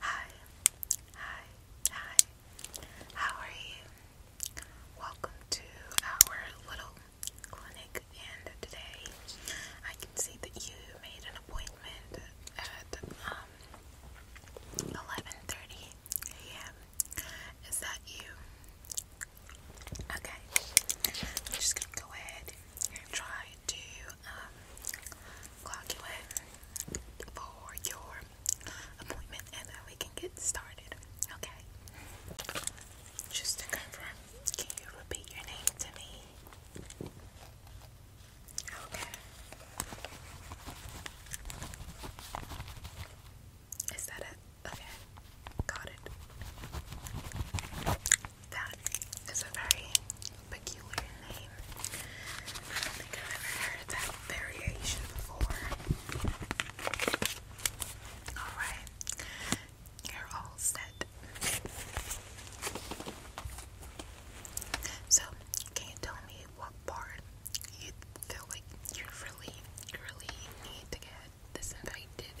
Hi, hi, hi. How are you? Welcome to our little clinic, and today I can see that you made an appointment at 11:30 um, a.m. Is that you? Okay, I'm just gonna go ahead and try to um, for your appointment and then we can get started. Okay. Just to confirm, can you repeat your name to me? Okay. Is that it? Okay. Got it. That is a very peculiar name. I think I've ever heard that variation before. Alright, you're all set. So, can you tell me what part you feel like you really, really need to get disinfected?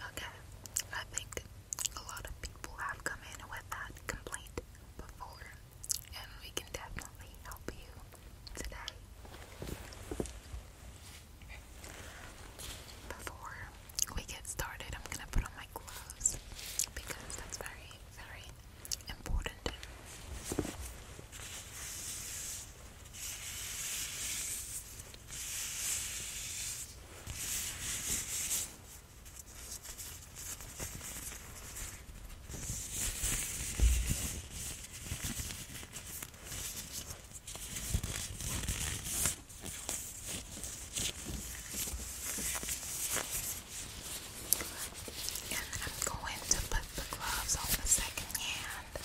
Okay, I think a lot of people have come in with that complaint before, and we can definitely help you today. Before we get started, I'm gonna put on my gloves because that's very, very important. And I'm going to put the gloves on the second hand.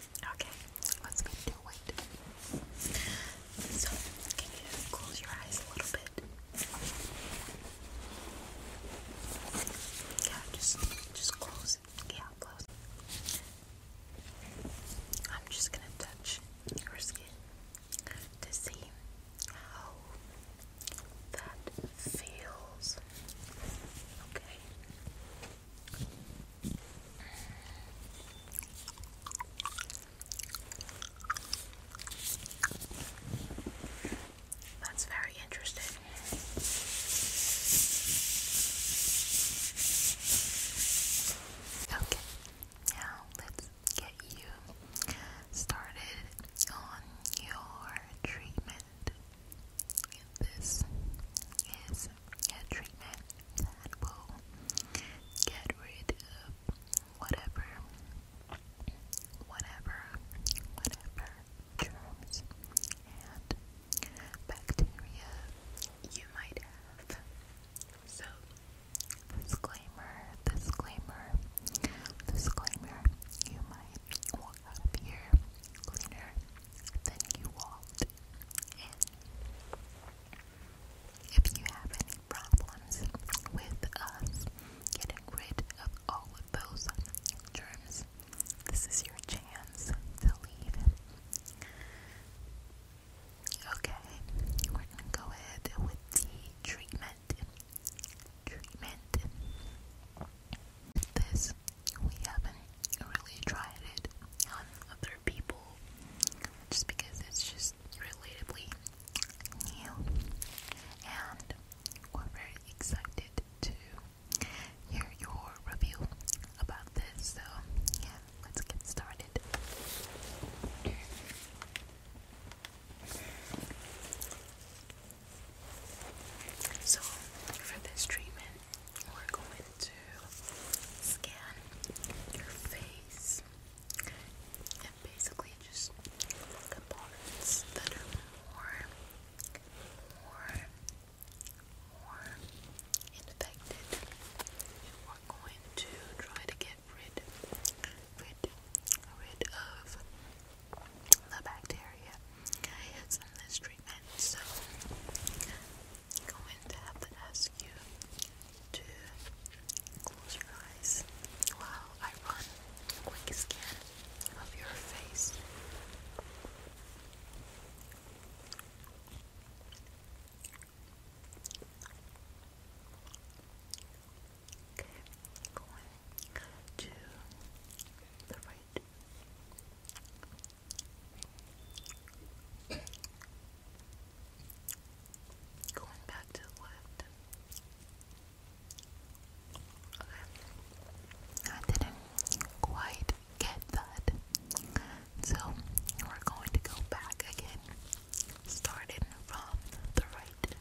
Okay, let's do it. So, can you close your eyes a little bit? Yeah, just, just close Yeah, close I'm just gonna touch your skin to see how that feels. Okay. That's very interesting. Okay, now let's get you started on your treatment. This is this treatment that will get rid of whatever, whatever, whatever germs and bacteria you might have. So, disclaimer, disclaimer, disclaimer, you might happier, cleaner than you walked in. If you have any problems with us getting rid of all of those germs, this is your chance to leave. Okay, we're gonna go ahead with the treatment. Treatment. This we haven't really tried it on other people just because it's just relatively new and we're very excited to hear your review about this so yeah let's get started so for this treatment we're going to scan your face and basically just look at parts that are more, more, more infected. we're going to try to get rid, rid, rid of the bacteria. Okay, so let's treatment, so I'm going to have to ask you to close your eyes while I run a quick scan of your face. Okay, going to the right Going back to the left. Okay. I didn't quite get that. So we're going to go back again. Starting from the right.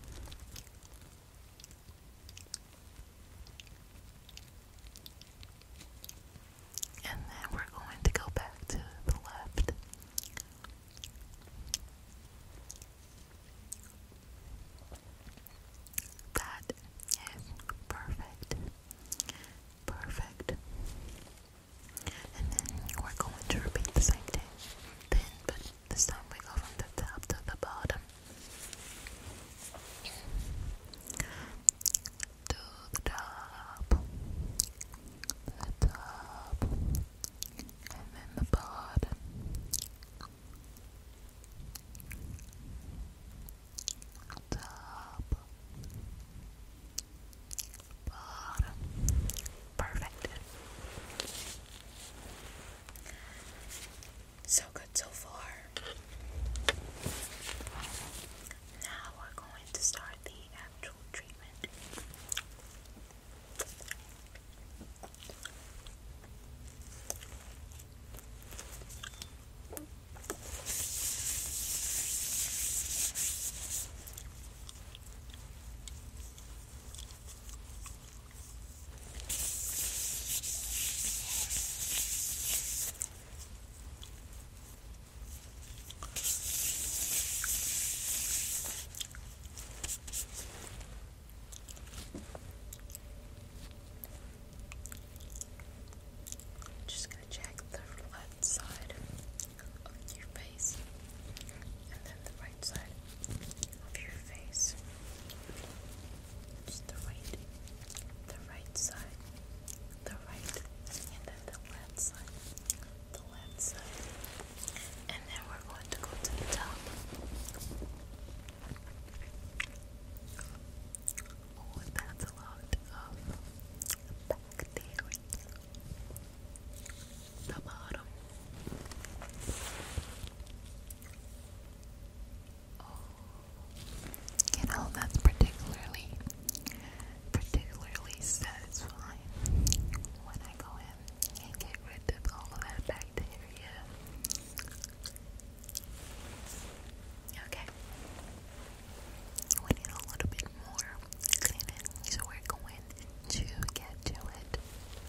And then we're going to go back to the left. That is perfect. Perfect. And then we're going to repeat the same thing. Then, but this time we go from the top to the bottom to the top, the top, and then the bottom. Top, bottom, perfect. So good so far. Now we're going to start the actual treatment. Just going to check the left side of your face and then the right side of your face. Just the right, the right side, the right, and then the left side, the left side, and then we're going to go to the top. Oh, that's a lot of back there. The bottom. You know, that's particularly, particularly satisfying when I go in and get rid of all of that bacteria. Okay. We need a little bit more cleaning, so we're going to get to it.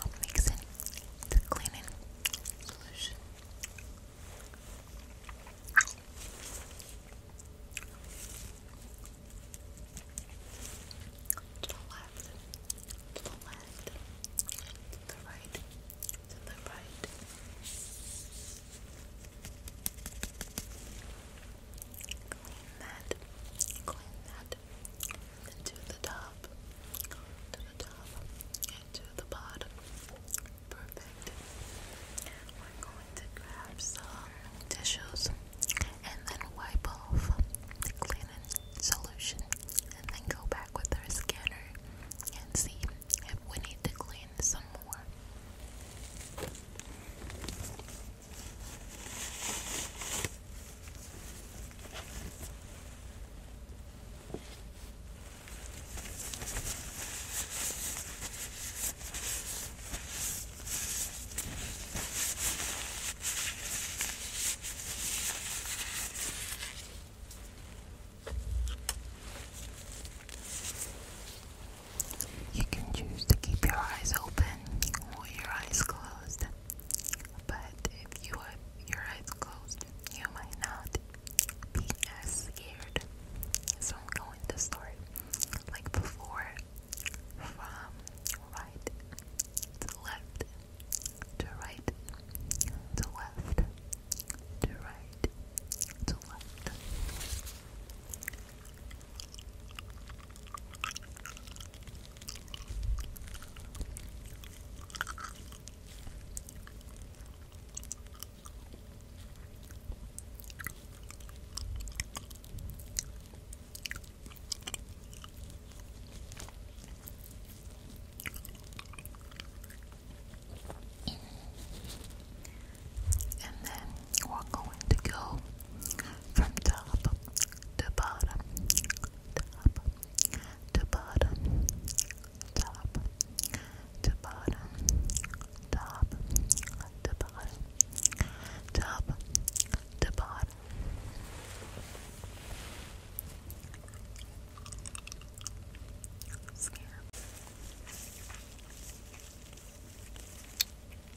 I'll mix it the cleaning solution. To the left, to the left, to the right, to the right. Clean that, clean that, head to the top, to the top, and to the bottom. Perfect. We're going to grab some tissues and then wipe off the cleaning solution and then go back with our scanner and see if we need to clean some more. You can choose to keep your eyes open or your eyes closed but if you have your eyes closed, you might not be as scared. So I'm going to start like before from right to left to right to left to right to left. And then we're going to go from top the bottom, top, the bottom, top, the bottom, top, the bottom, top, the bottom. Scare.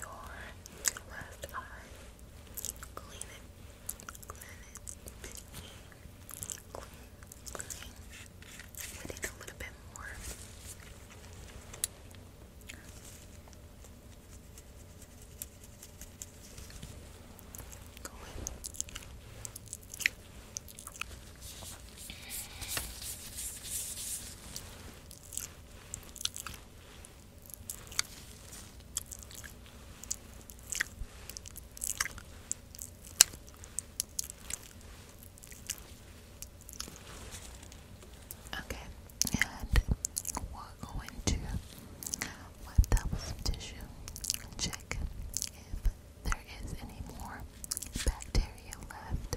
your left eye. Clean it. Clean it. Clean. Clean. We need a little bit more. Go in. Okay, and we're going to wipe that tissue check if there is any more bacteria left.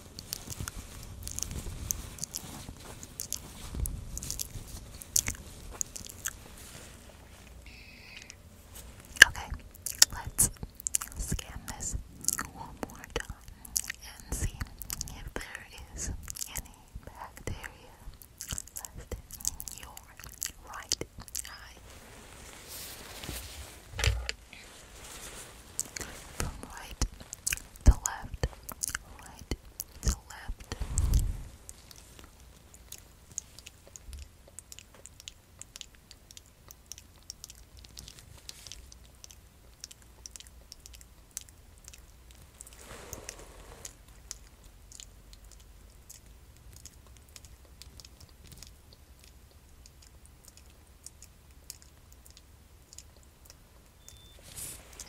Okay, let's scan this one more time and see if there is any bacteria left in your right eye from right to left, right to left.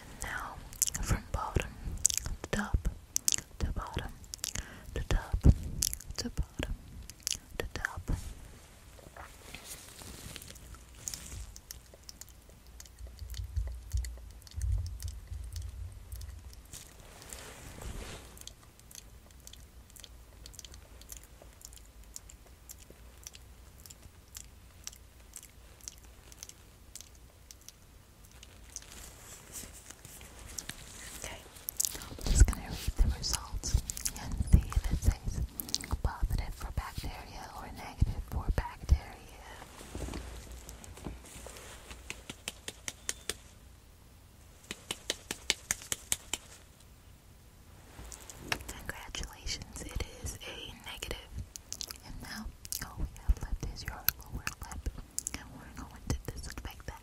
And now, from bottom to top, to bottom, to top, to bottom, to top. Okay, I'm just going to read the results and see if it says positive for bacteria or negative for bacteria. Congratulations, it is a negative. And now all we have left is your lower lip. And we're going to disinfect that.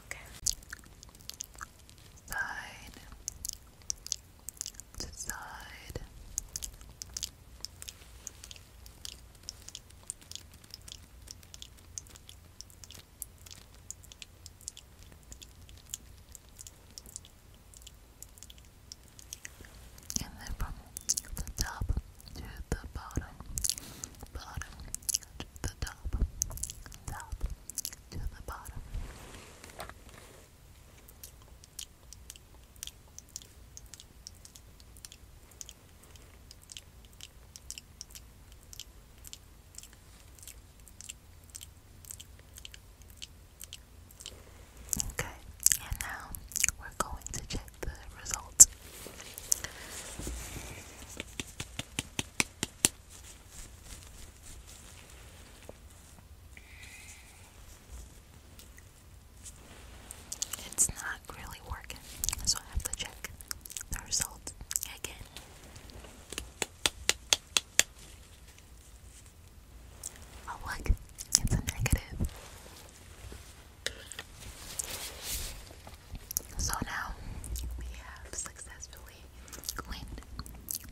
Okay. Side to side. And then from the top to the bottom, bottom, to the top, top, to the bottom. Okay, and now we're going to check the results. It's not really working, so I have to check the results again. Oh, look, it's a negative. So now we have successfully cleaned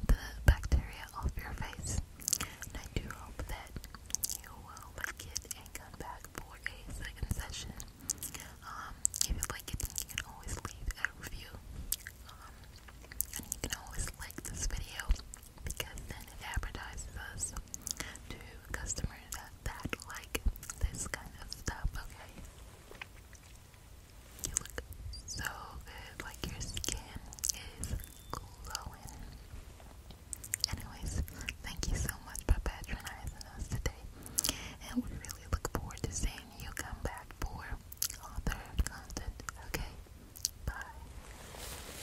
the bacteria off your face. And I do hope that you will like it and come back for a second session. Um, if you like it, you can always leave a review. Um, and you can always like this video because then it advertises to customers that, like this kind of stuff, okay? You look so good, like your skin is glowing. Anyways, thank you so much for patronizing us today, and we really look forward to seeing you come back for all third content, okay? Bye.